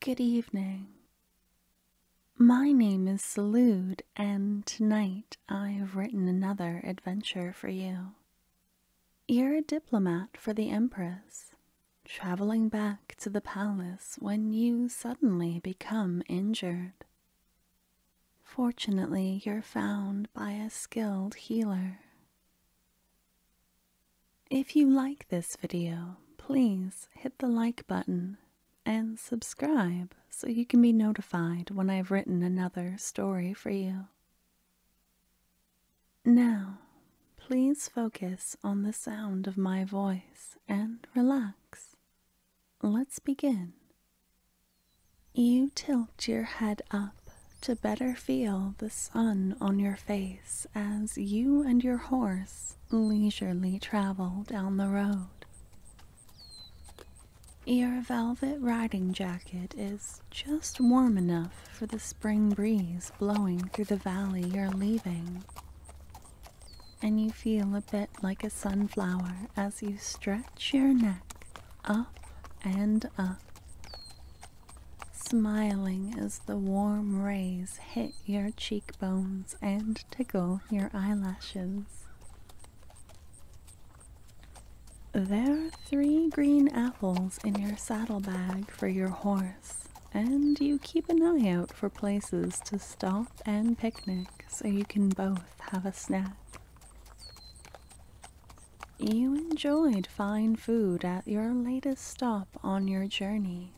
Good evening. My name is Salud, and tonight I have written another adventure for you. You're a diplomat for the Empress, traveling back to the palace when you suddenly become injured. Fortunately, you're found by a skilled healer. If you like this video, please hit the like button and subscribe so you can be notified when I've written another story for you. Now, please focus on the sound of my voice and relax. Let's begin. You tilt your head up to better feel the sun on your face as you and your horse leisurely travel down the road. Your velvet riding jacket is just warm enough for the spring breeze blowing through the valley you're leaving and you feel a bit like a sunflower as you stretch your neck up and up. Smiling as the warm rays hit your cheekbones and tickle your eyelashes. There are three green apples in your saddlebag for your horse, and you keep an eye out for places to stop and picnic so you can both have a snack. You enjoyed fine food at your latest stop on your journey.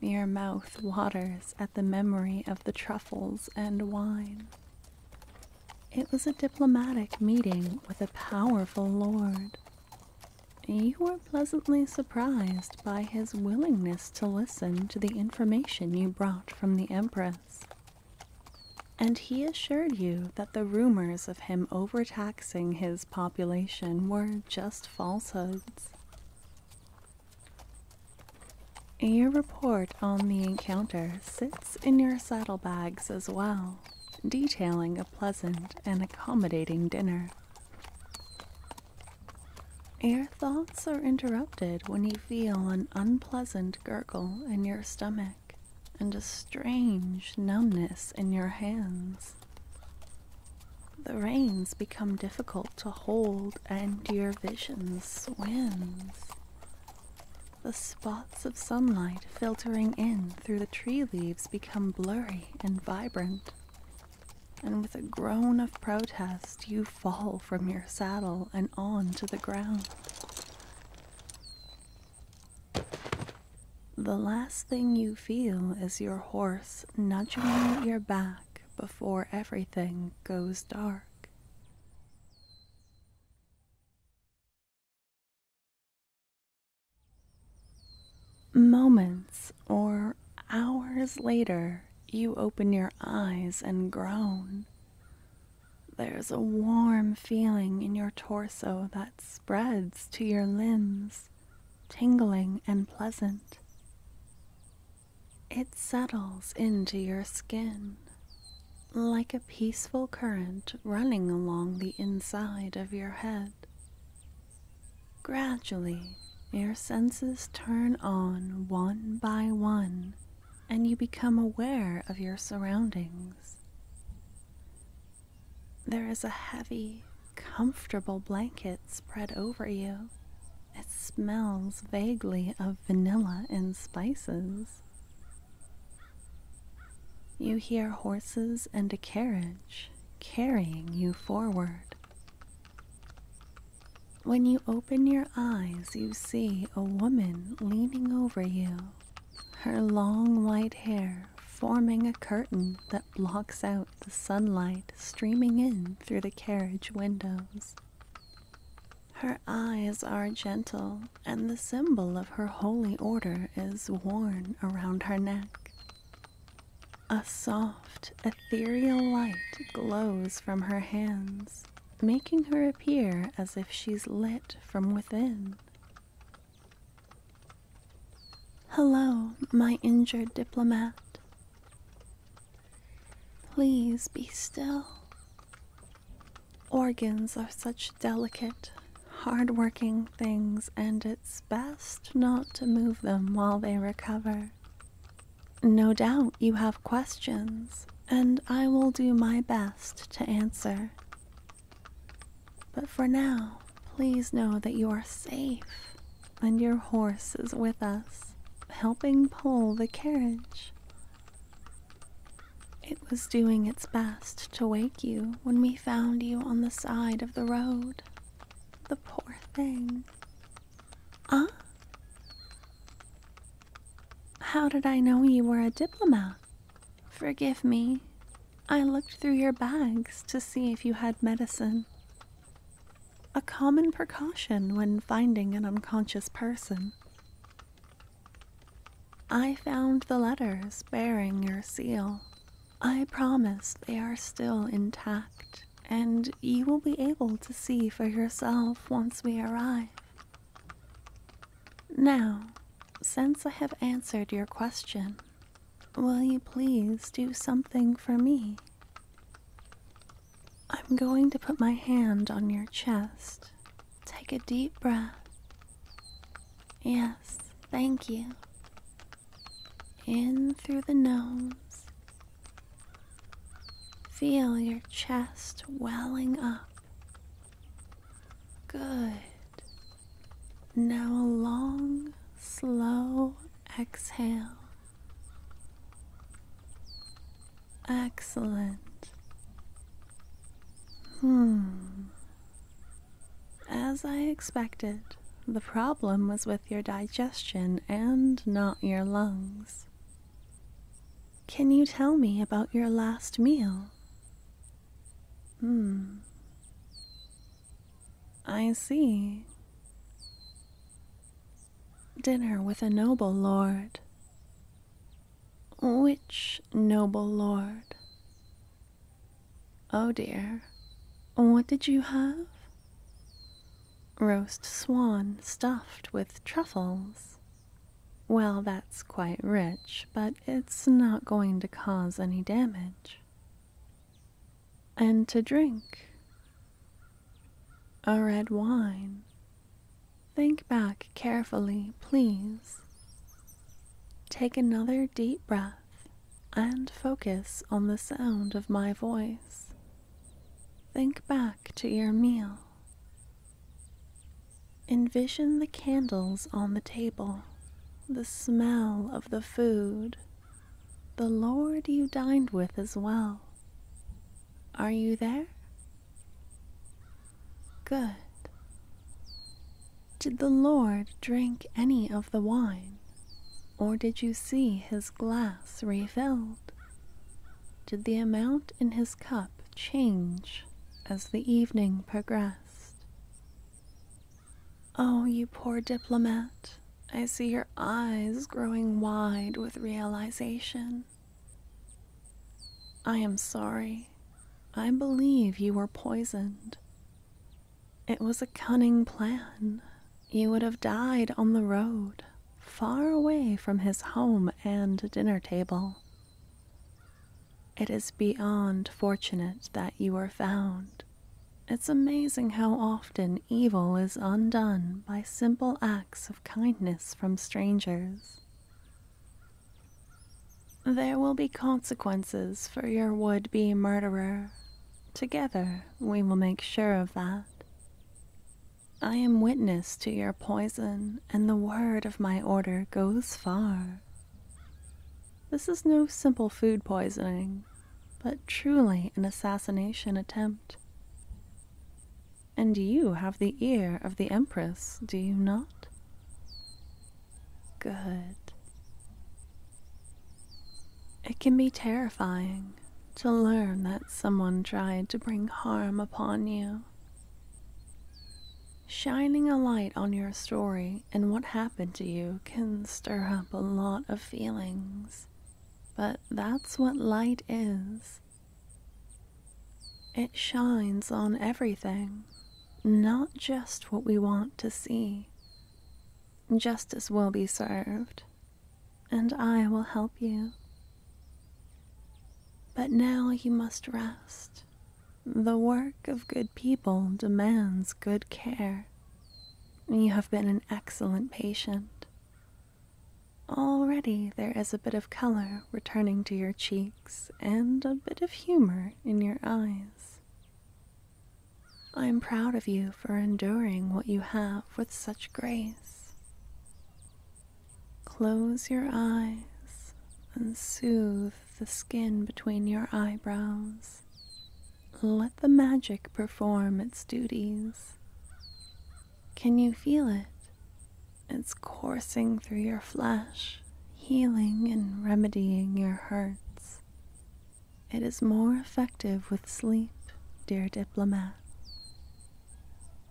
Your mouth waters at the memory of the truffles and wine. It was a diplomatic meeting with a powerful lord. You were pleasantly surprised by his willingness to listen to the information you brought from the Empress and he assured you that the rumors of him overtaxing his population were just falsehoods. A report on the encounter sits in your saddlebags as well, detailing a pleasant and accommodating dinner. Your thoughts are interrupted when you feel an unpleasant gurgle in your stomach and a strange numbness in your hands. The reins become difficult to hold, and your vision swims. The spots of sunlight filtering in through the tree leaves become blurry and vibrant. And with a groan of protest, you fall from your saddle and onto the ground. The last thing you feel is your horse nudging you your back before everything goes dark. Moments or hours later, you open your eyes and groan. There's a warm feeling in your torso that spreads to your limbs, tingling and pleasant. It settles into your skin like a peaceful current running along the inside of your head. Gradually, your senses turn on one by one and you become aware of your surroundings. There is a heavy, comfortable blanket spread over you. It smells vaguely of vanilla and spices. You hear horses and a carriage carrying you forward. When you open your eyes, you see a woman leaning over you, her long white hair forming a curtain that blocks out the sunlight streaming in through the carriage windows. Her eyes are gentle, and the symbol of her holy order is worn around her neck. A soft, ethereal light glows from her hands, making her appear as if she's lit from within. Hello, my injured diplomat. Please be still. Organs are such delicate, hard working things, and it's best not to move them while they recover. No doubt you have questions, and I will do my best to answer. But for now, please know that you are safe and your horse is with us, helping pull the carriage. It was doing its best to wake you when we found you on the side of the road. The poor thing. Ah? How did I know you were a diplomat? Forgive me. I looked through your bags to see if you had medicine. A common precaution when finding an unconscious person. I found the letters bearing your seal. I promise they are still intact, and you will be able to see for yourself once we arrive. Now, since I have answered your question, will you please do something for me? I'm going to put my hand on your chest. Take a deep breath. Yes, thank you. In through the nose. Feel your chest welling up Good. Now a long, slow exhale. Excellent. Hmm. As I expected, the problem was with your digestion and not your lungs. Can you tell me about your last meal? Hmm. I see. Dinner with a noble lord. Which noble lord? Oh dear, what did you have? Roast swan stuffed with truffles. Well, that's quite rich, but it's not going to cause any damage. And to drink, a red wine. Think back carefully, please. Take another deep breath and focus on the sound of my voice. Think back to your meal Envision the candles on the table, the smell of the food, the Lord you dined with as well. Are you there? Good. Did the Lord drink any of the wine, or did you see his glass refilled? Did the amount in his cup change as the evening progressed. Oh, you poor diplomat, I see your eyes growing wide with realization. I am sorry. I believe you were poisoned. It was a cunning plan. You would have died on the road, far away from his home and dinner table. It is beyond fortunate that you were found. It's amazing how often evil is undone by simple acts of kindness from strangers. There will be consequences for your would be murderer. Together we will make sure of that. I am witness to your poison, and the word of my order goes far. This is no simple food poisoning, but truly an assassination attempt. And you have the ear of the Empress, do you not? Good. It can be terrifying to learn that someone tried to bring harm upon you. Shining a light on your story and what happened to you can stir up a lot of feelings, but that's what light is. It shines on everything, not just what we want to see. Justice will be served, and I will help you. But now you must rest the work of good people demands good care. You have been an excellent patient. Already there is a bit of color returning to your cheeks and a bit of humor in your eyes. I am proud of you for enduring what you have with such grace. Close your eyes and soothe the skin between your eyebrows. Let the magic perform its duties. Can you feel it? It's coursing through your flesh, healing and remedying your hurts. It is more effective with sleep, dear diplomat.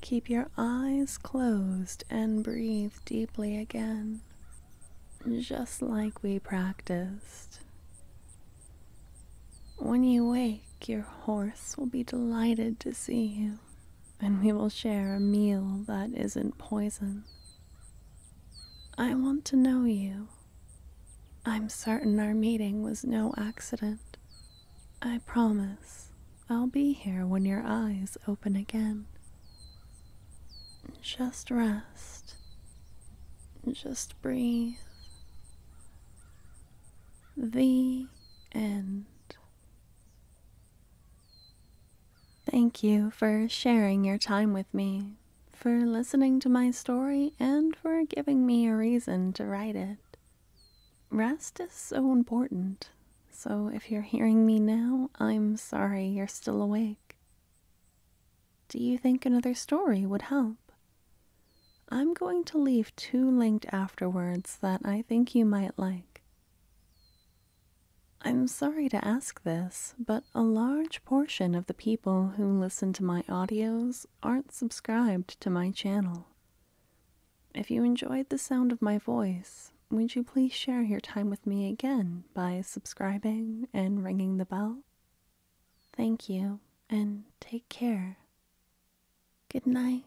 Keep your eyes closed and breathe deeply again, just like we practiced. When you wake, your horse will be delighted to see you, and we will share a meal that isn't poison. I want to know you. I'm certain our meeting was no accident. I promise I'll be here when your eyes open again. Just rest. Just breathe. The end. Thank you for sharing your time with me, for listening to my story, and for giving me a reason to write it. Rest is so important, so if you're hearing me now, I'm sorry you're still awake. Do you think another story would help? I'm going to leave two linked afterwards that I think you might like. I'm sorry to ask this, but a large portion of the people who listen to my audios aren't subscribed to my channel. If you enjoyed the sound of my voice, would you please share your time with me again by subscribing and ringing the bell? Thank you, and take care. Good night.